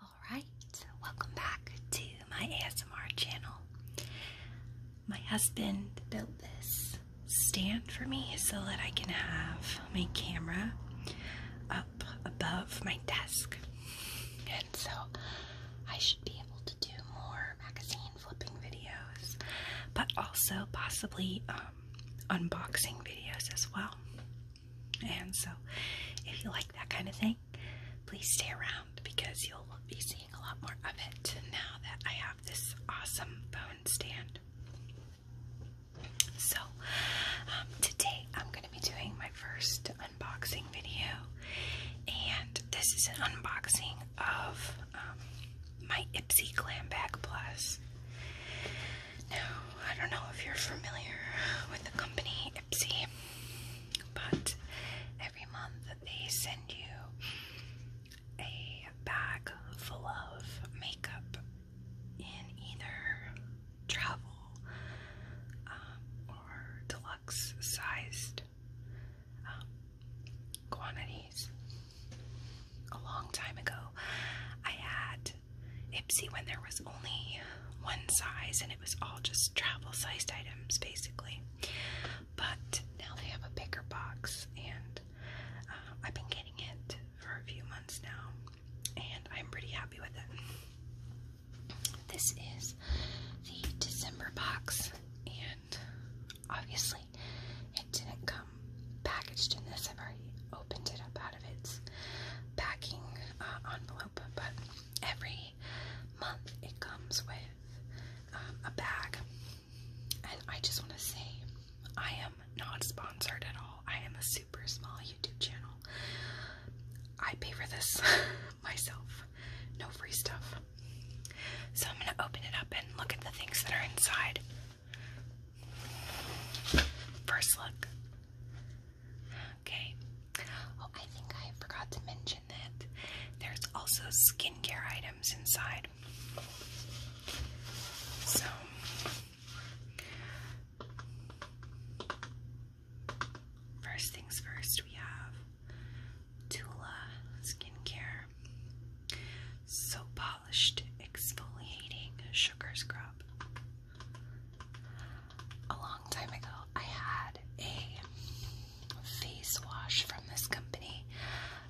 Alright, welcome back to my ASMR channel. My husband built this stand for me so that I can have my camera up above my desk. And so I should be able to do more magazine flipping videos, but also possibly um, unboxing videos as well. And so, if you like that kind of thing, please stay around because you'll be seeing a lot more of it now that I have this awesome phone stand. So, um, today I'm going to be doing my first unboxing video, and this is an unboxing of um, my Ipsy Glam Bag Plus. Now, I don't know if you're familiar with the company Ipsy, but every month they send you a bag full of makeup in either travel um, or deluxe sized um, quantities. A long time ago, I had Ipsy when there was only one size and it was all just travel sized items basically. But now they have a bigger box, and uh, I've been getting it for a few months now, and I'm pretty happy with it. This is the December box, and obviously, it didn't come packaged in this. I've already opened it up of its packing uh, envelope, but every month it comes with um, a bag. I just want to say, I am not sponsored at all. I am a super small YouTube channel. I pay for this myself. No free stuff. So I'm going to open it up and look at the things that are inside. First look. Okay. Oh, I think I forgot to mention that there's also skincare items inside. So. First things first, we have Tula skincare, Sopa polished exfoliating sugar scrub. A long time ago, I had a face wash from this company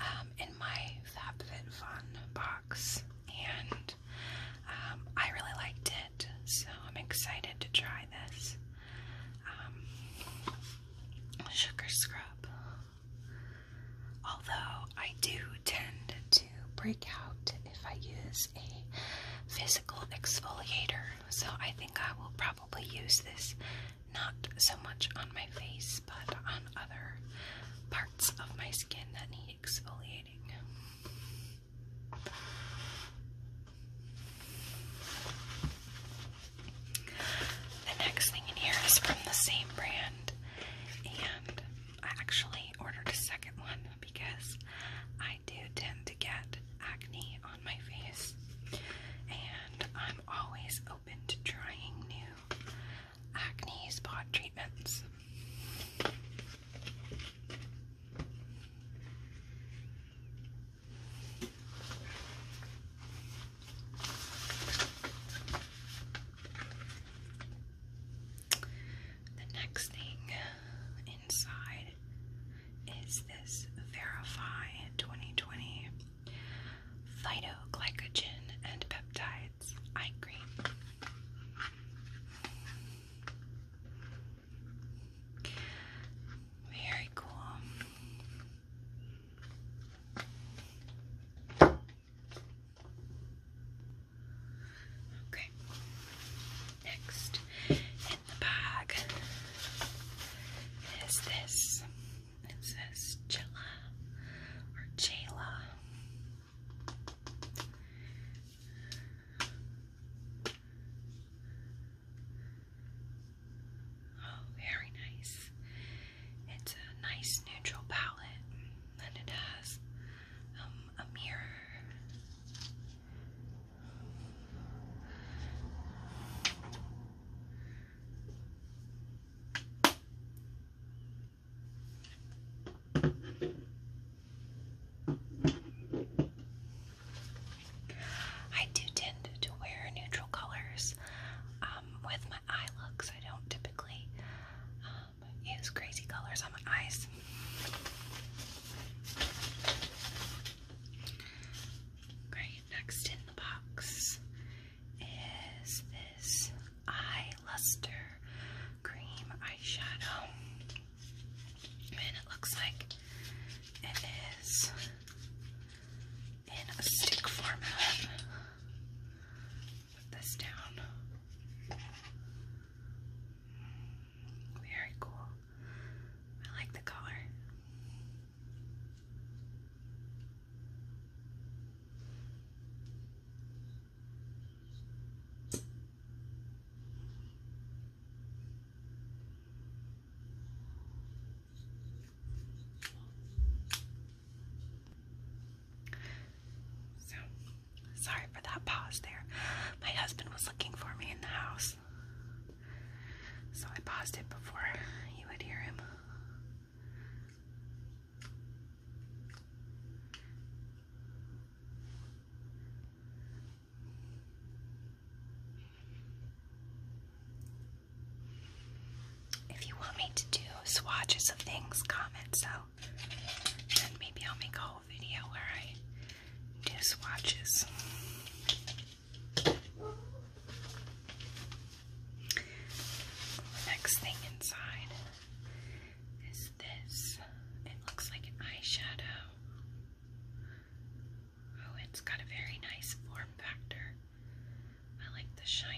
um, in my FabFitFun box, and um, I really liked it, so I'm excited to try this um, sugar scrub. Although I do tend to break out if I use a physical exfoliator, so I think I will probably use this not so much on my face but on other parts of my skin that need exfoliating. The next thing in here is from the same brand, and I actually ordered a second one because I do tend to get acne on my face, and I'm always open to trying new acne spot treatments. The next thing inside is this Verify 2020 Phytoglycogen and Peptides Eye Cream. Very cool. Okay. Next in the bag is this. It says Chilla or Jayla. Oh, very nice. It's a nice neutral palette, and it has um, a mirror. I do tend to wear neutral colors um, with my eye looks. I don't typically um, is crazy colors on my eyes. Great. Next in the box is this eye luster cream eyeshadow, and it looks like it is in a stick format put this down. Very cool. I like the color. So, sorry for that pause there. My husband was looking for me in the house. So I paused it before you would hear him. If you want me to do swatches of things, comment so. And maybe I'll make a whole video where I do swatches. next thing inside is this. It looks like an eyeshadow. Oh, it's got a very nice form factor. I like the shiny.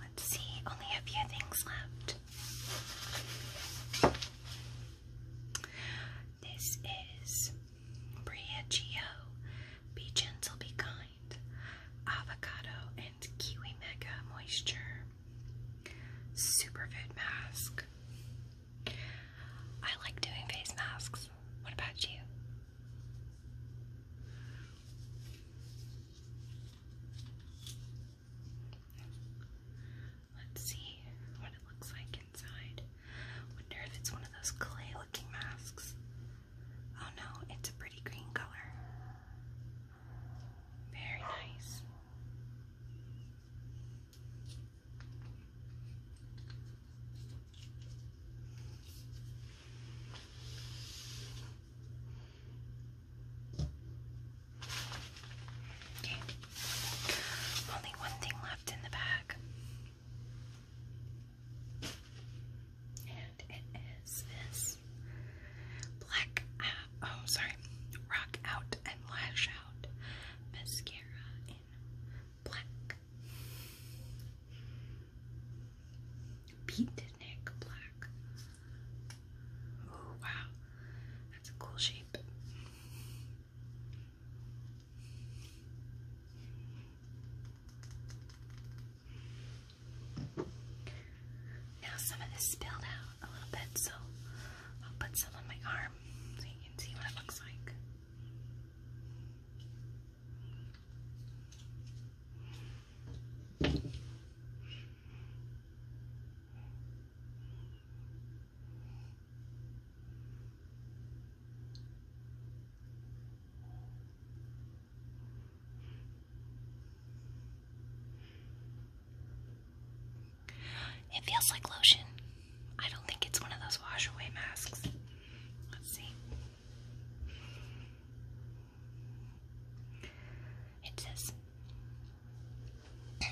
Let's see, only a few things left. This is Bria Be gentle, be kind. Avocado and Kiwi Mega Moisture. Superfood mask. I like doing face masks. What about you? Let's see what it looks like inside. Wonder if it's one of those clay looking masks. Oh no, it's a pretty green color. Very nice. Okay. Only one thing left in the bag. And it is this black, uh, oh, sorry, rock out and lash out mascara in black. Pete Nick Black. Oh wow, that's a cool shape. Now some of this spilled out a little bit, so I'll put some on my arm so you can see what it looks like. It feels like lotion. I don't think it's one of those wash away masks. Let's see. It says, let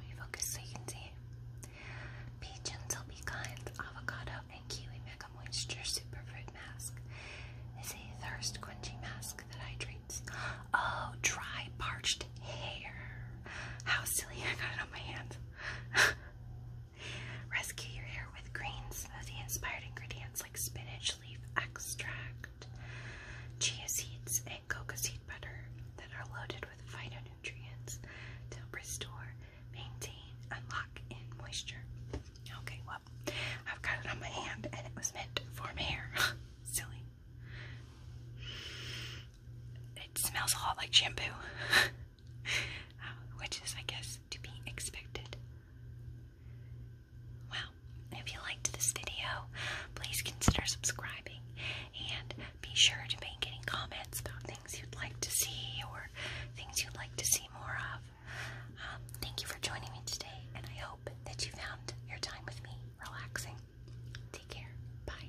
me focus so you can see. Peach and Tilby Kinds Avocado and Kiwi Mega Moisture Superfruit Mask is a thirst quenching mask that hydrates. Oh, dry parched hair. How silly I got it on my hands. Rescue your hair with green smoothie inspired ingredients like spinach leaf extract, chia seeds, and coca seed butter that are loaded with phytonutrients to restore, maintain, unlock, and moisture. Okay, well, I've got it on my hand and it was meant for my hair. Silly. It smells a lot like shampoo. which is, I guess, to be expected. Well, if you liked this video, please consider subscribing and be sure to make any comments about things you'd like to see or things you'd like to see more of. Um, thank you for joining me today, and I hope that you found your time with me relaxing. Take care. Bye.